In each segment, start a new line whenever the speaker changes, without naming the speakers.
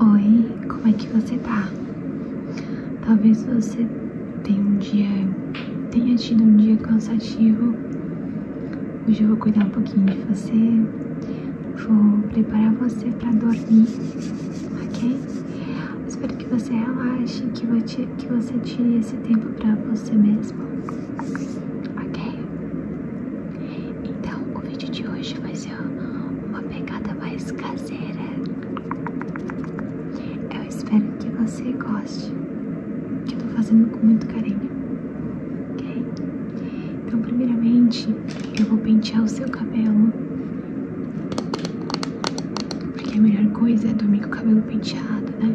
Oi, como é que você tá? Talvez você tenha um dia, tenha tido um dia cansativo. Hoje eu vou cuidar um pouquinho de você, vou preparar você para dormir, ok? Espero que você relaxe, que, você, que você tire esse tempo para você mesmo, ok? Então o vídeo de hoje vai ser uma pegada mais caseira. Eu espero que você goste, que eu tô fazendo com muito carinho, ok? Então primeiramente eu vou pentear o seu cabelo, porque a melhor coisa é dormir com o cabelo penteado, né?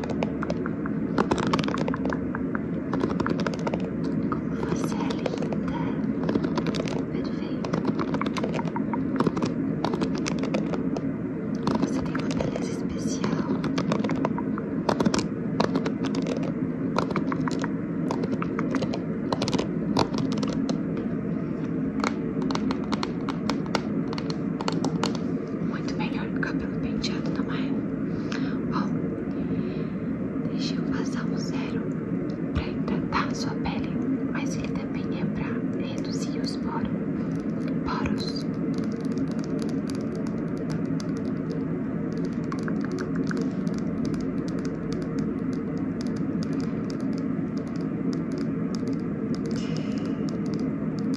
Como você é linda, perfeito. Você tem uma beleza especial. Você muito melhor que o cabelo penteado, não é? Bom, deixa eu passar um zero pra hidratar a sua pele, mas ele também é pra reduzir os poros. poros.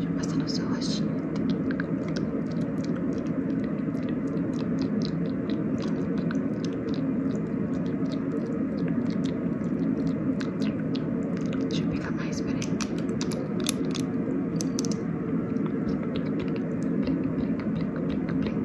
Já passa no seu rostinho. eu pegar mais, peraí. Brinca, brinca, brinca, brinca, brinca.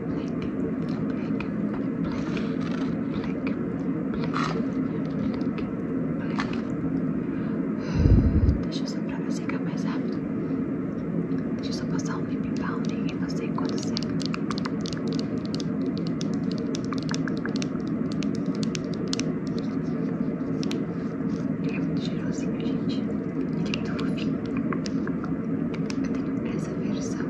Deixa eu só pra ver secar mais rápido. Deixa eu só passar um lip balm e você enquanto seca. Ele é muito cheirosinho, gente. Ele é muito fofinho. Eu tenho essa versão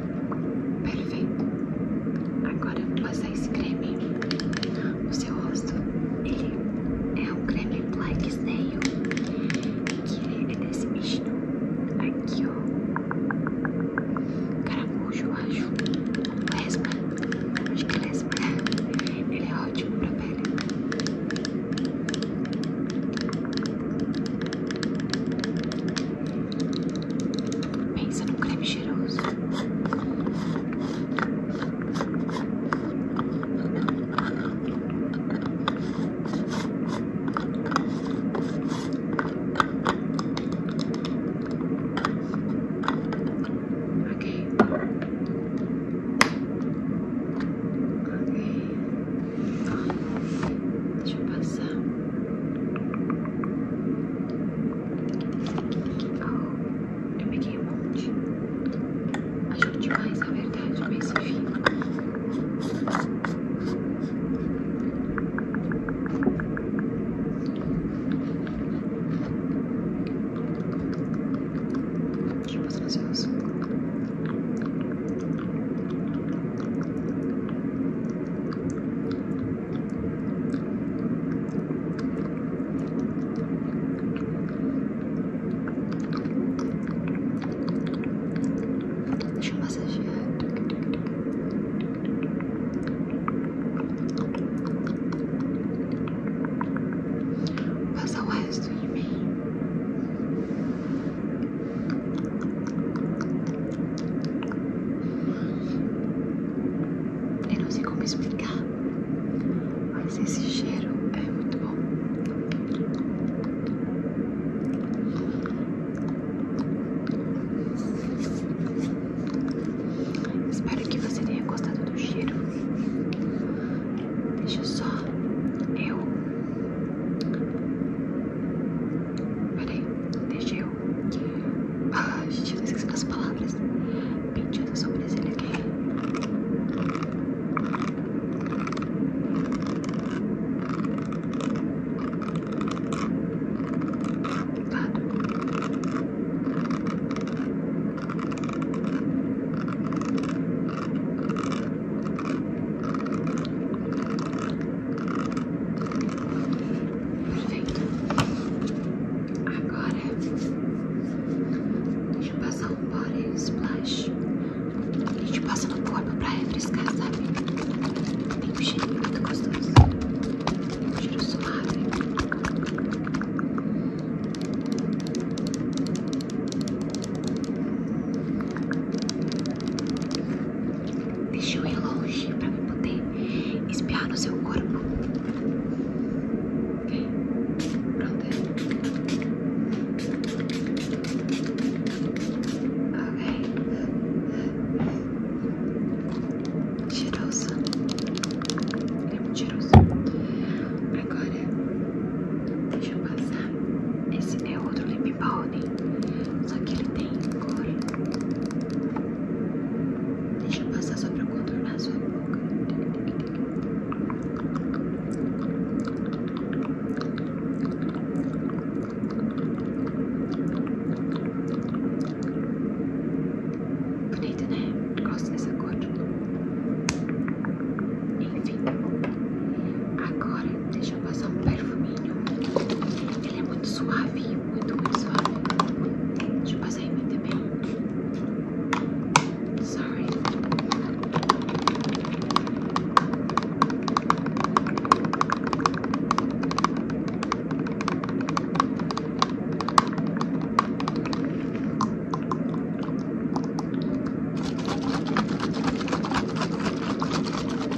Perfeito. Agora vou passar esse creme no seu rosto. Ele é um creme Black Snail, que é desse bichinho aqui, ó. Caramujo, eu acho. Lesma. Acho que é lesma. Ele é ótimo pra pele. Pensa no creme cheiroso. Ok. Ok. Deixa eu passar. Oh, eu peguei um monte. Achou demais, na verdade, mas enfim. Deixa eu passar os seus. Deixa Deixa eu massagear. passa o resto em mim. Eu não sei como explicar, mas esse cheiro é muito bom. Espero que você tenha gostado do cheiro. Deixa só eu Peraí, deixa eu. Ah, gente, eu esqueci das palavras. Mentira sobre esse aqui. Obrigado. Perfeito. Agora deixa gente passa um body splash. A gente passa no corpo pra refrescar, sabe? Tem um cheiro muito gostoso. Um cheiro suave. Deixa eu ir longe pra eu poder espiar no seu corpo. Ok? Pronto. Ok. Cheiroso. É muito Agora, deixa eu passar. Esse é outro limite. Bonnie. Só que ele tem cor. Deixa eu passar só pra contornar sua boca. Bonito, né? Gosto dessa cor. Enfim. Tá Agora, deixa chama só um perfuminho. Ele é muito suave, muito, muito suave. Deixa eu passar em mim também. Sorry.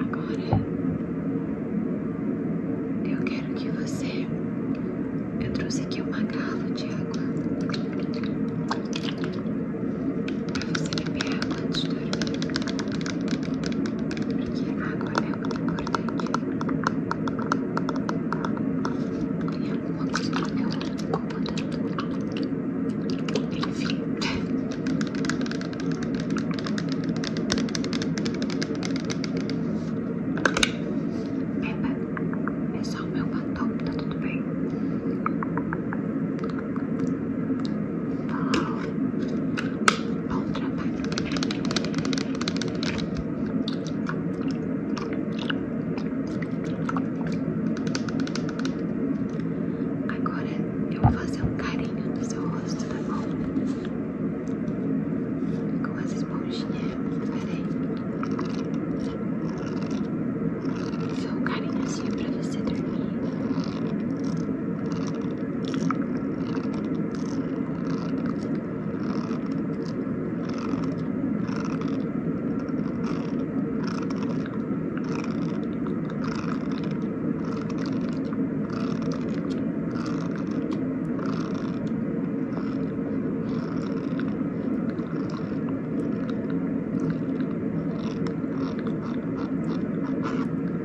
Agora eu quero que você. Eu trouxe aqui uma garrafa de água para você beber antes de dormir, porque água é tem alguma coisa no meu incomodando. Enfim. Epa, é só o meu batom, tá tudo bem. Bom trabalho. Agora eu vou fazer um carinho no seu rosto, tá bom? Com essa esponjinha, peraí. Fazer um carinho assim pra você dormir.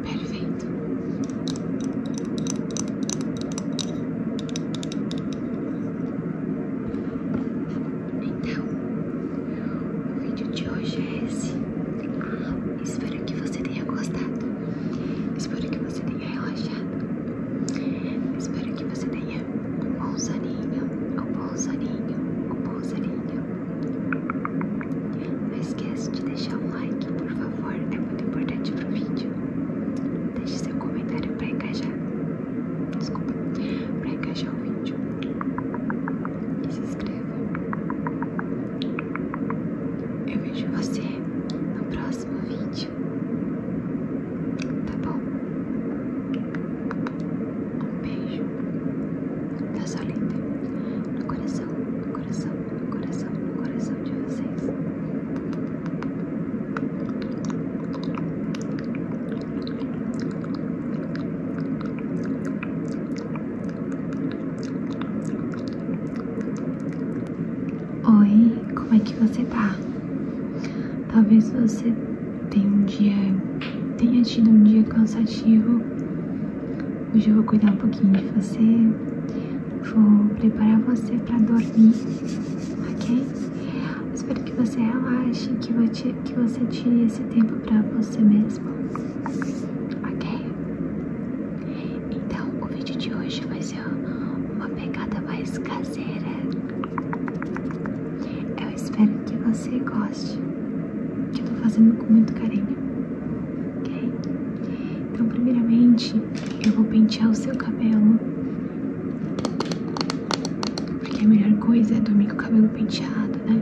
Perfeito. Então, o vídeo de hoje é esse. Ah, espero que você tenha gostado. Espero que você tenha relaxado. Espero que você tenha um bom soninho, um bom soninho, um bom soninho. Não esquece de deixar um like, por favor favor, é muito importante pro vídeo. Deixe seu comentário pra encaixar. Desculpa, pra encaixar o vídeo. E se inscreva. Eu vejo você no próximo vídeo. Tá bom? Um beijo da tá Solita no coração, no coração, no coração, no coração de vocês. Oi, como é que você tá? Talvez você tenha um dia, tenha tido um dia cansativo. Hoje eu vou cuidar um pouquinho de você vou preparar você para dormir, ok? Espero que você relaxe, que, você tire esse tempo para você mesmo, ok? Então, o vídeo de hoje vai ser uma pegada mais caseira. Eu espero que você goste, que eu tô fazendo com muito carinho, ok? Então, primeiramente, eu vou pentear o seu cabelo. Porque a melhor coisa é dormir com o cabelo penteado, né?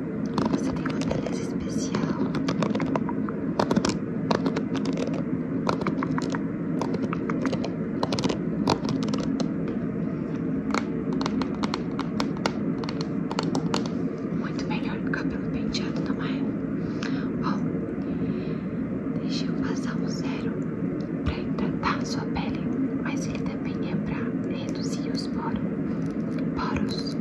Você tem uma beleza especial. Muito melhor que o cabelo penteado, não é? Bom, deixa eu passar um zero pra hidratar sua pele, mas ele também é pra reduzir os poros. Poros.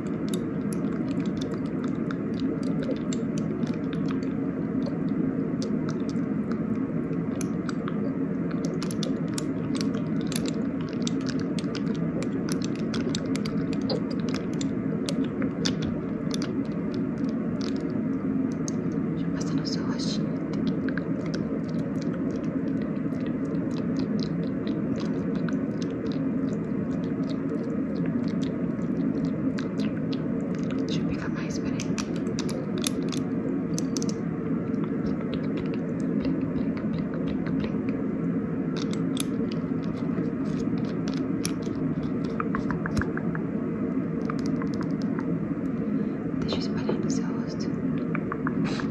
Já passa no seu rostinho. Tá Deixa eu pegar mais, peraí. Deixa eu espalhar no seu rosto. Deixa eu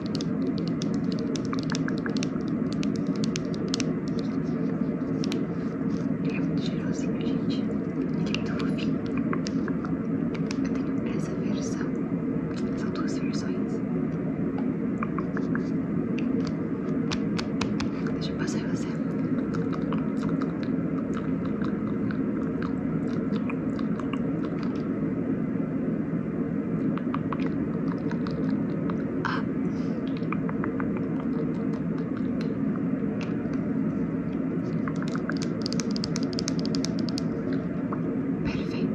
Ele é muito cheirosinho, gente. Ele é muito fofinho. Eu tenho essa versão. São duas versões. Deixa eu passar em você. Perfeito.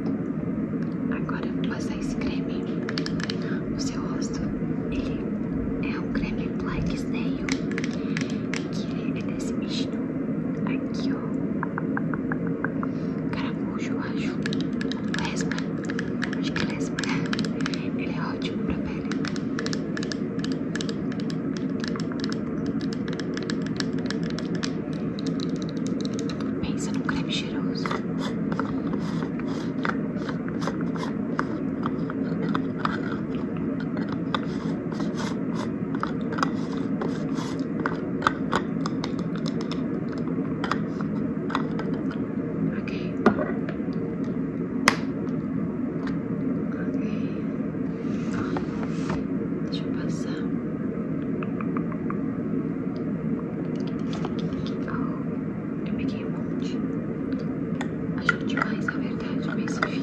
Agora eu vou passar esse creme no seu rosto. Ele é um creme Black Snail, que é desse bichinho aqui, ó. Caramujo, eu acho. Lesma. de que lesma. É Ele é ótimo pra pele. Pensa num creme cheiroso. Ok. Ok. Deixa eu passar. eu peguei um monte. Ajude demais, na verdade, mas enfim.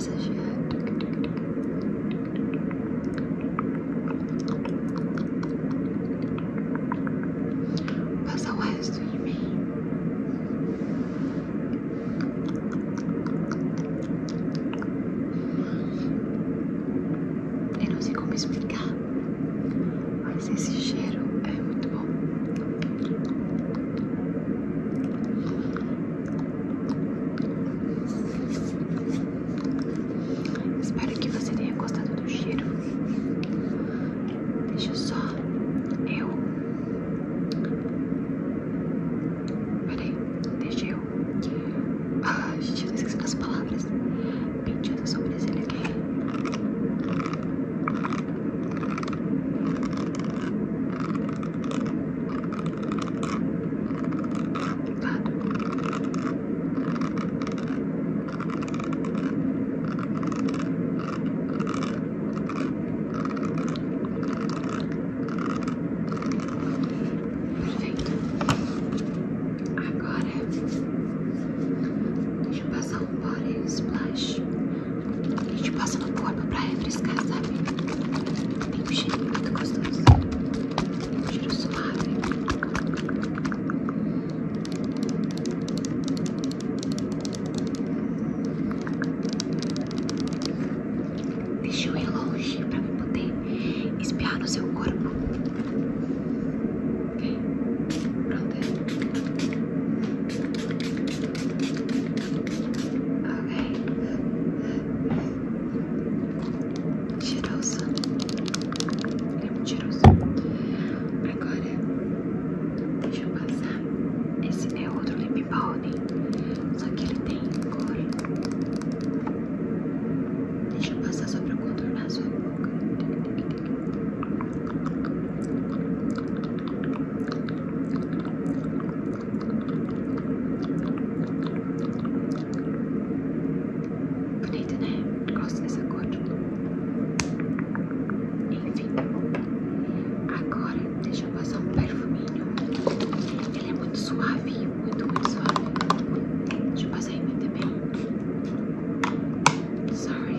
massagear. o resto de mim. Eu não sei como explicar, mas esse cheiro é muito bom. Espero que você tenha gostado do cheiro. Deixa só eu. Peraí, deixa eu. Ah, gente, eu tô esquecendo as palavras. Mentira, eu sou brasileira aqui. Perfeito. Agora deixa passar um body splash. A gente passa o corpo pra refrescar, sabe? Tem um cheiro muito gostoso. Um cheiro suave. Deixa eu ir longe pra me poder espiar no seu corpo. Ok? Pronto. Ok. Cheirosa. É muito cheiroso. Agora, deixa eu passar. Esse é outro lip balm, só que ele tem cor. Deixa eu passar só pra contornar a sua boca. Bonito, né? Gosto dessa cor. Enfim. Tá Agora, deixa eu passar um perfuminho. Ele é muito suave, muito, muito suave. Deixa eu passar ele mim também. Sorry.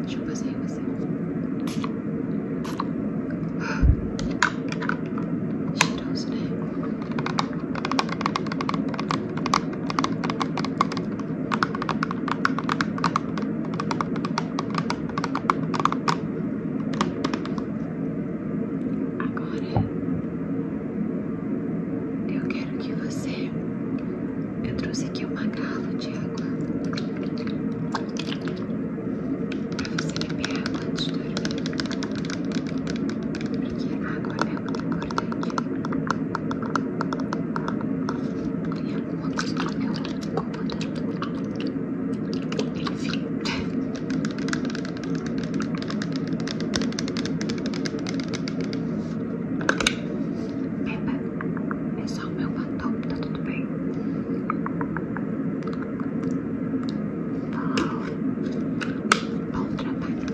Deixa eu você. Cheiroso, né? Agora eu quero que você eu trouxe aqui uma garrafa de água para você beber água antes de dormir, porque água é muito importante. Tem alguma coisa no meu tá incomodando. Enfim. Pepa, é só o meu batom, tá tudo bem? Bom, bom trabalho.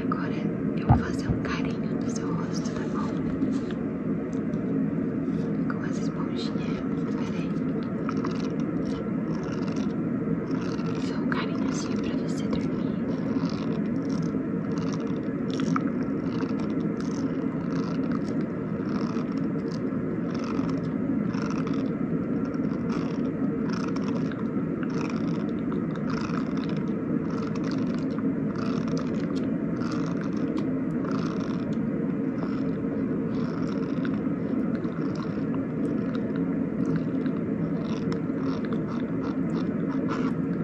Agora eu vou fazer um carinho no seu rosto, tá bom? Com esses esponjinha é muito diferente. Só assim carinhozinho pra você dormir.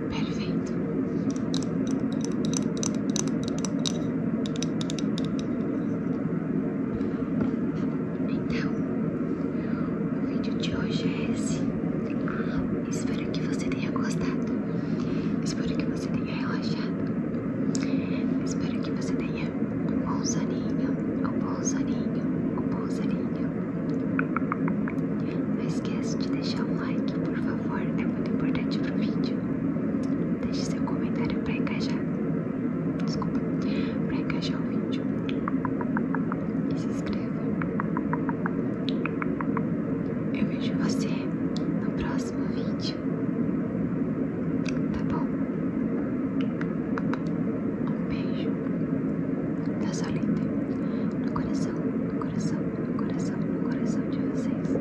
Perfeito. Então, o vídeo de hoje é esse. Espero que você tenha gostado. Espero que você tenha relaxado. Espero que você tenha um bom soninho, um bom soninho, um bom soninho. Não esquece de deixar um like, por favor, é muito importante pro vídeo. Deixe seu comentário para encaixar. Desculpa, pra encaixar o vídeo. E se inscreva. Eu vejo você no próximo vídeo. Tá bom? Um beijo. Tá só lindo. No coração, no coração, no coração, no coração de vocês.